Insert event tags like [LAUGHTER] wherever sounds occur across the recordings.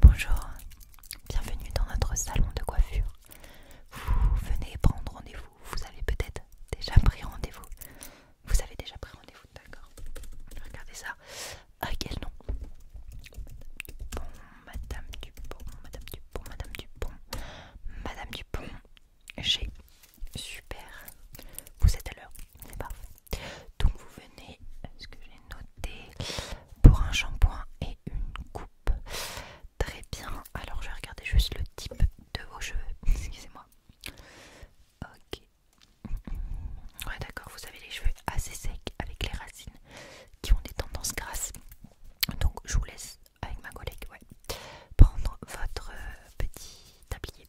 Bonjour, bienvenue dans notre salon de coiffure. Vous venez prendre rendez-vous, vous avez peut-être déjà pris rendez-vous. Vous avez déjà pris rendez-vous, d'accord Regardez ça. À ah, quel nom Dupont, Madame Dupont, Madame Dupont, Madame Dupont, Madame Dupont. J'ai super. Vous êtes à l'heure, c'est parfait. Donc vous venez, ce que j'ai noté, pour un shampoing et une coupe. Très bien. Alors je vais regarder juste le type de vos cheveux. [LAUGHS] Excusez-moi. Ok. Ouais d'accord, vous avez les cheveux assez secs avec les racines qui ont des tendances grasses. Donc je vous laisse avec ma collègue ouais, prendre votre euh, petit tablier.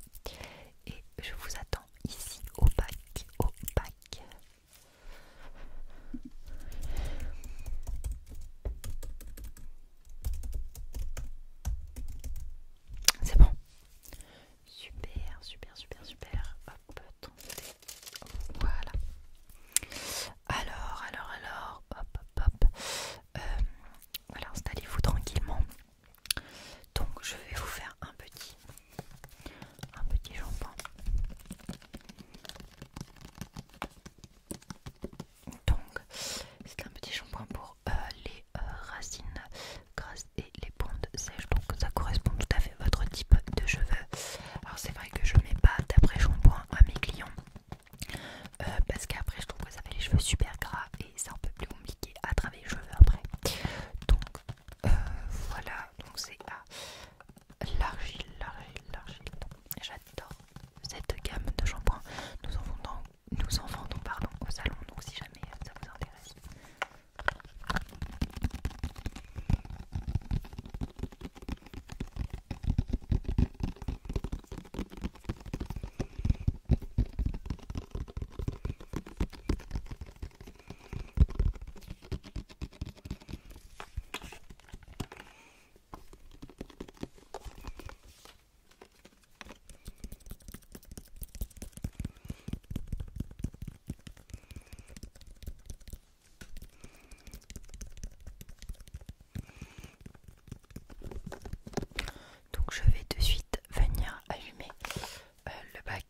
Et je vous attends ici au bac, au bac. C'est bon. Super, super, super, super. Hop, Voilà. Alors, alors, alors, hop, hop, hop. Euh, voilà, installez-vous tranquillement. Donc, je vais vous faire un petit un petit shampoing Donc, c'est un petit shampoing pour euh, les euh, racines grasses et les bandes sèches. Donc, ça correspond tout à fait à votre type de cheveux. Alors, c'est vrai que je mets pas d'après-shampoing à mes clients euh, parce qu'après, je trouve que ça fait les cheveux super gras et c'est un peu plus compliqué à travailler les cheveux après. Donc, voilà, donc c'est à l'argile, l'argile, l'argile. J'adore cette gamme de shampoings. Nous en vendons, nous en au salon, donc si jamais ça vous intéresse. Donc je vais de suite venir allumer euh, le bac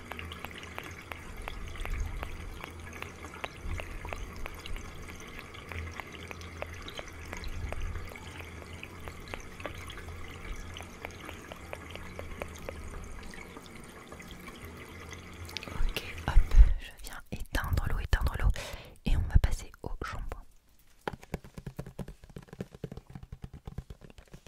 Ok, hop, je viens éteindre l'eau, éteindre l'eau et on va passer au jambon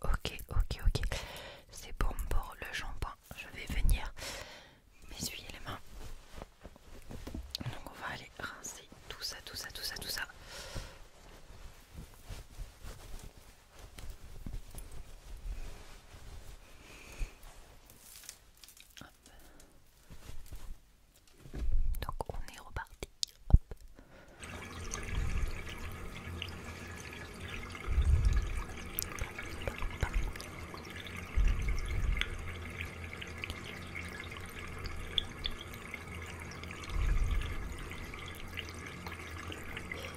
Ok, ok, ok. C'est bon pour le jambon. Je vais venir m'essuyer les mains. Donc on va aller rincer tout ça, tout ça, tout ça, tout ça. Donc on est reparti. Hop.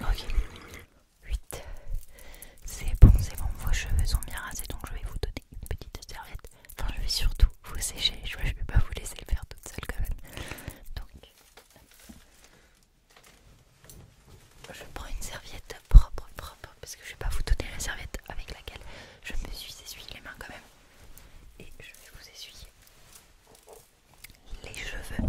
Ok. 8. C'est bon, c'est bon, vos cheveux sont bien rasés donc je vais vous donner une petite serviette. Enfin, je vais surtout vous sécher. Je vais pas vous laisser le faire toute seule quand même. Donc, je prends une serviette propre, propre, parce que je vais pas vous donner la serviette avec laquelle je me suis essuyé les mains quand même. Et je vais vous essuyer les cheveux.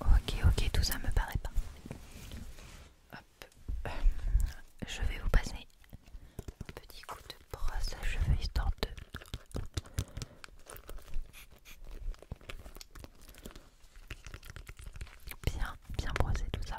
Ok, ok, tout ça me paraît pas. Euh, je vais vous passer un petit coup de brosse à cheveux histoire bien, bien brosser tout ça.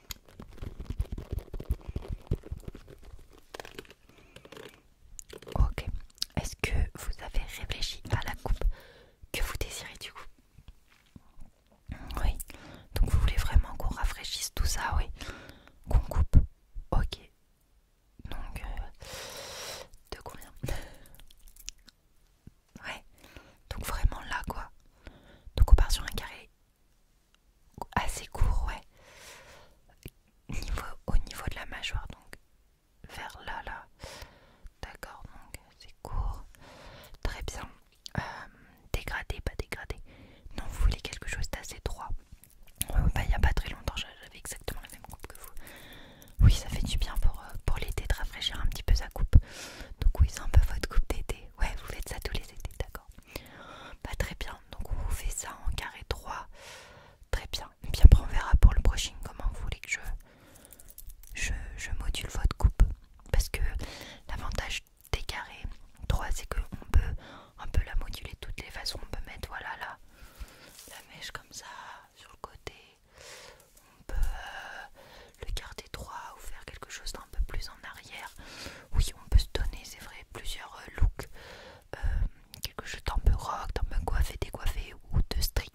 Ok. Est-ce que vous avez réfléchi à la coupe que vous désirez du coup Oui. Donc vous voulez vraiment qu'on rafraîchisse tout ça, oui. Qu'on coupe. Ok. Donc euh, de combien Ouais. Donc vraiment là quoi. Donc on part sur un carré assez court, ouais. Niveau, au niveau de la mâchoire, donc vers là, là. D'accord, donc c'est court. Très bien. Euh, dégradé, pas dégradé. Non, vous voulez quelque chose d'assez droit. bah, il n'y a pas très longtemps, j'avais exactement la même coupe que vous. Oui, ça fait du bien pour, euh, pour l'été de rafraîchir un petit peu sa coupe. Donc oui, c'est un peu votre coupe d'été. Ouais, vous faites ça tous les étés, d'accord Pas très bien. Donc vous fait ça en carré 3. Très bien. Et puis après on verra pour le brushing comment vous voulez que je, je, module votre coupe. Parce que l'avantage des carrés 3 c'est qu'on peut un peu la moduler de toutes les façons. On peut mettre voilà la mèche comme ça sur le côté on peut euh, le garder droit ou faire quelque chose d'un peu plus en arrière. Oui, on peut se donner, c'est vrai, plusieurs euh, looks, euh, quelque chose d'un peu rock, d'un peu coiffé, décoiffé ou de street.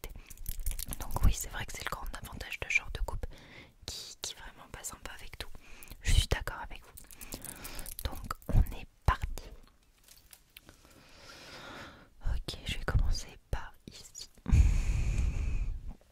Donc oui, c'est vrai que c'est le grand avantage de genre de coupe qui, qui vraiment passe un avec tout. Je suis d'accord avec vous. Donc on est parti. Ok, je vais commencer par ici. [LAUGHS]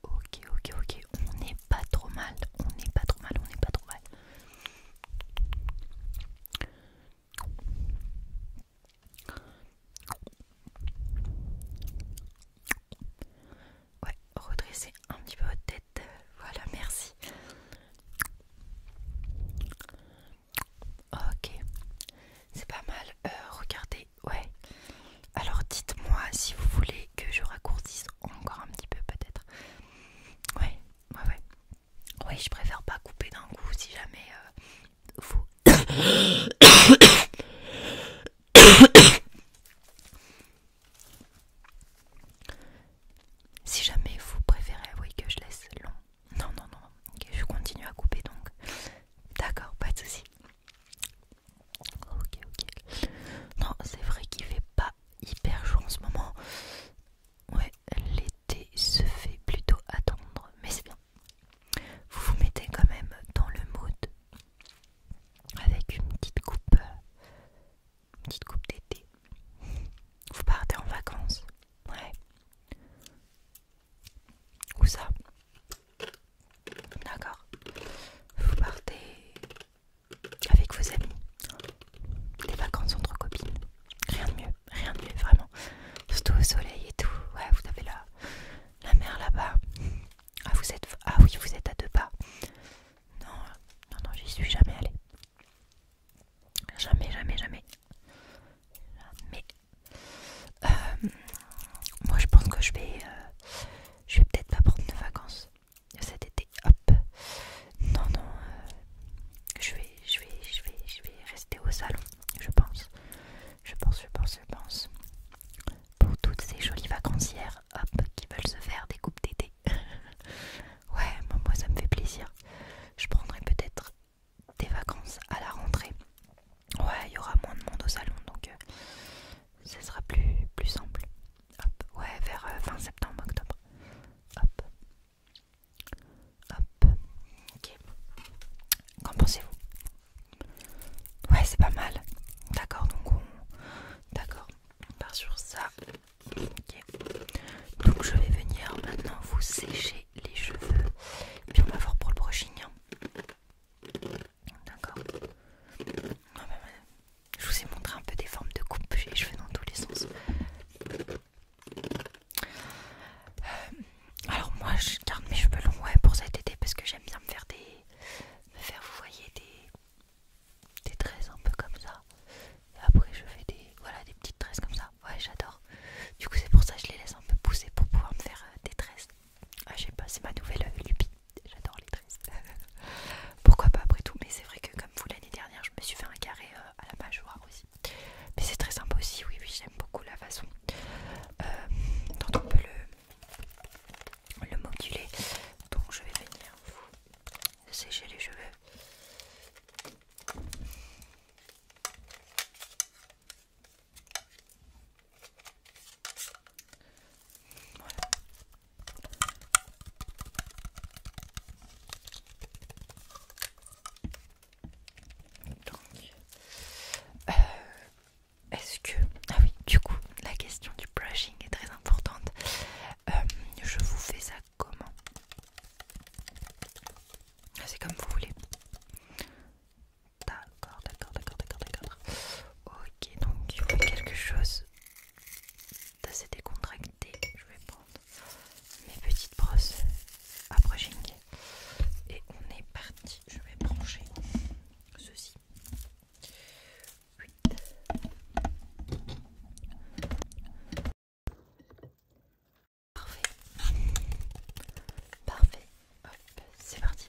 Ok, ok, ok, on n'est pas trop mal, on n'est pas trop mal, on n'est pas trop mal. Ouais, redressez un petit peu votre tête. Euh, voilà, merci. Ok, c'est pas mal. Euh, regardez, ouais. Alors dites-moi si vous voulez que je raccourcisse encore un petit peu peut-être. Ouais, ouais, ouais. Oui, je préfère pas couper d'un coup si jamais euh, vous... [COUGHS] si jamais vous préférez, oui, que je laisse long. Non, non, non. Ok, je continue à couper donc. D'accord, pas de soucis. Ok, ok. Non, c'est vrai qu'il fait pas hyper chaud en ce moment. Ouais, l'été se fait plutôt attendre, mais c'est bien. Vous vous mettez quand même dans le mood avec une petite coupe, une petite coupe d'été. Vous partez en vacances, ouais. Où ça D'accord. Vous partez avec vos amis. Les vacances entre copines. Rien de mieux, rien de mieux, vraiment. Surtout au soleil et tout. Ouais, vous avez la, la mer là-bas. Ah, vous êtes, ah oui, vous êtes à deux pas. Non, non, non, j'y suis jamais allée. Jamais, jamais, jamais. Jamais. Euh, moi je pense que je vais euh, je vais peut-être pas prendre de vacances cet été non non euh, je vais je vais vais je vais rester au salon je pense je pense je pense je pense pour toutes ces jolies vacancières hop qui veulent se faire des coupes d'été [LAUGHS] ouais moi ça me fait plaisir je prendrai peut-être des vacances à la rentrée. Ouais, il y aura moins de monde au salon, donc ça euh, ce sera plus, plus simple. Hop, ouais, vers euh, fin septembre, octobre. Hop. Hop. Ok. Qu'en pensez-vous Ouais, c'est pas mal. D'accord, donc D'accord, on part sur ça. Ok. Donc je vais venir maintenant vous sécher les cheveux. puis on va voir pour le brushing. Hein. D'accord Je vous ai montré un peu des formes de coupe. J'ai les cheveux dans tous les sens. Euh, alors moi je garde mes cheveux longs pour cet été parce que j'aime bien me faire des... Me faire, vous voyez, des, des tresses un peu comme ça. après je fais des, voilà, des petites tresses comme ça. Ouais, j'adore. Du coup, c'est pour ça que je les laisse un peu pousser pour pouvoir me faire euh, des tresses. Ah, je pas, c'est ma nouvelle euh, J'adore les tresses. [LAUGHS] Pourquoi pas après tout Mais c'est vrai que, comme vous, l'année dernière, je me suis fait un carré euh, à la mâchoire aussi. Mais c'est très sympa aussi. Oui, oui, j'aime beaucoup la façon dont on peut le, le moduler. Donc, je vais venir vous sécher les cheveux. Euh, est-ce que... Ah oui, du coup, la question du brushing est très importante. Euh, je vous fais ça comment. Ah, c'est comme vous voulez. D'accord, d'accord, d'accord, d'accord, d'accord. Ok, donc il a quelque chose d'assez décontracté. Je vais prendre mes petites brosses à brushing et on est parti. Je vais brancher ceci. Oui. Parfait. Parfait. c'est parti.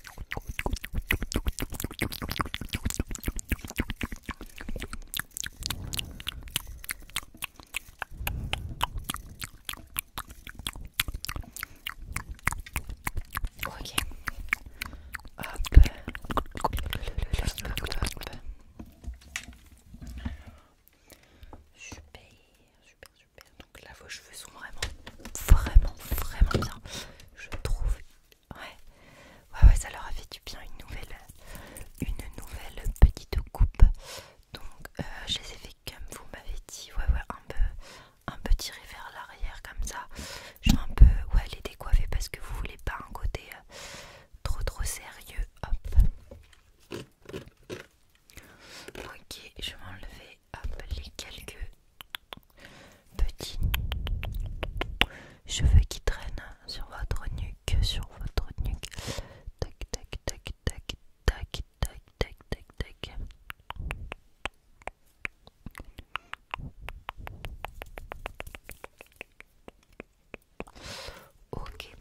Ok. Hop. Super, super, super. Donc là, vos cheveux sont vraiment, vraiment, vraiment bien. Je trouve. Ouais, ouais, ouais ça leur a fait du bien une nouvelle, une nouvelle petite coupe. Donc, euh, je les ai fait comme vous m'avez dit. Ouais, ouais, un peu, un peu tiré vers l'arrière comme ça. Je un peu, ouais, les décoiffer parce que vous voulez pas un côté euh, trop, trop sérieux. Hop. Ok, je vais enlever Appelez quelques petits cheveux qui traînent sur votre nuque, sur votre nuque. Tac, tac, tac, tac, tac, tac, tac, tac, tac. Ok.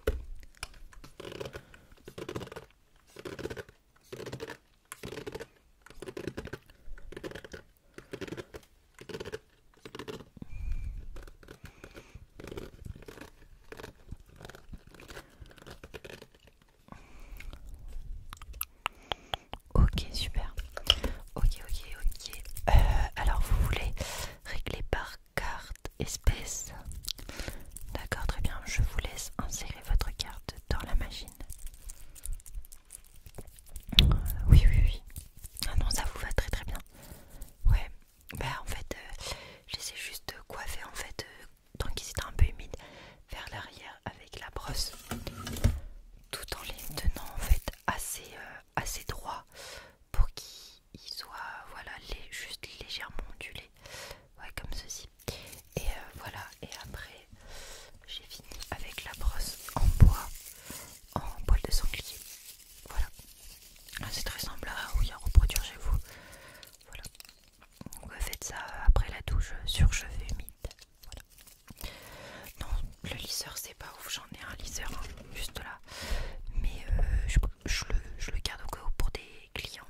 Ok, super. Ok, ok, ok. Euh, alors, vous voulez régler par carte espèce D'accord, très bien. Je vous laisse insérer votre carte dans la machine oui, oui, oui. Ah non, ça vous va très très bien. Ouais, bah en fait, euh, j'essaie juste de coiffer en fait, euh, tant qu'ils étaient un peu humide, vers l'arrière avec la brosse, tout en les tenant en fait assez, euh, assez droit pour qu'ils soient voilà, les, juste légèrement ondulés ouais comme ceci et euh, voilà et après j'ai fini avec la brosse en bois en poil de sanglier voilà ah, c'est très simple hein, à oui reproduire chez vous voilà Vous euh, faites ça euh, après la douche sur cheveux humides non le lisseur c'est pas ouf j'en ai un lisseur hein, juste là mais je, le, je le garde au cas pour des clients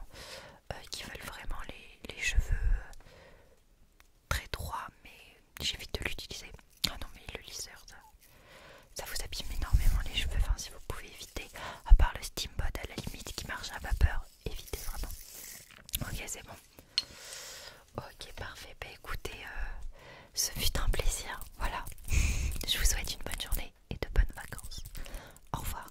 euh, qui veulent vraiment les, cheveux euh, très droits, mais j'évite de l'utiliser. Ah non, mais le lisseur, ça, vous abîme énormément les cheveux. Enfin, si vous pouvez éviter, à part le steamboat à la limite qui marche à vapeur, évitez vraiment. Ok, c'est bon. Ok, parfait. Bah écoutez, euh, ce fut un plaisir. Voilà. [LAUGHS] Je vous souhaite une bonne journée et de bonnes vacances. Au revoir.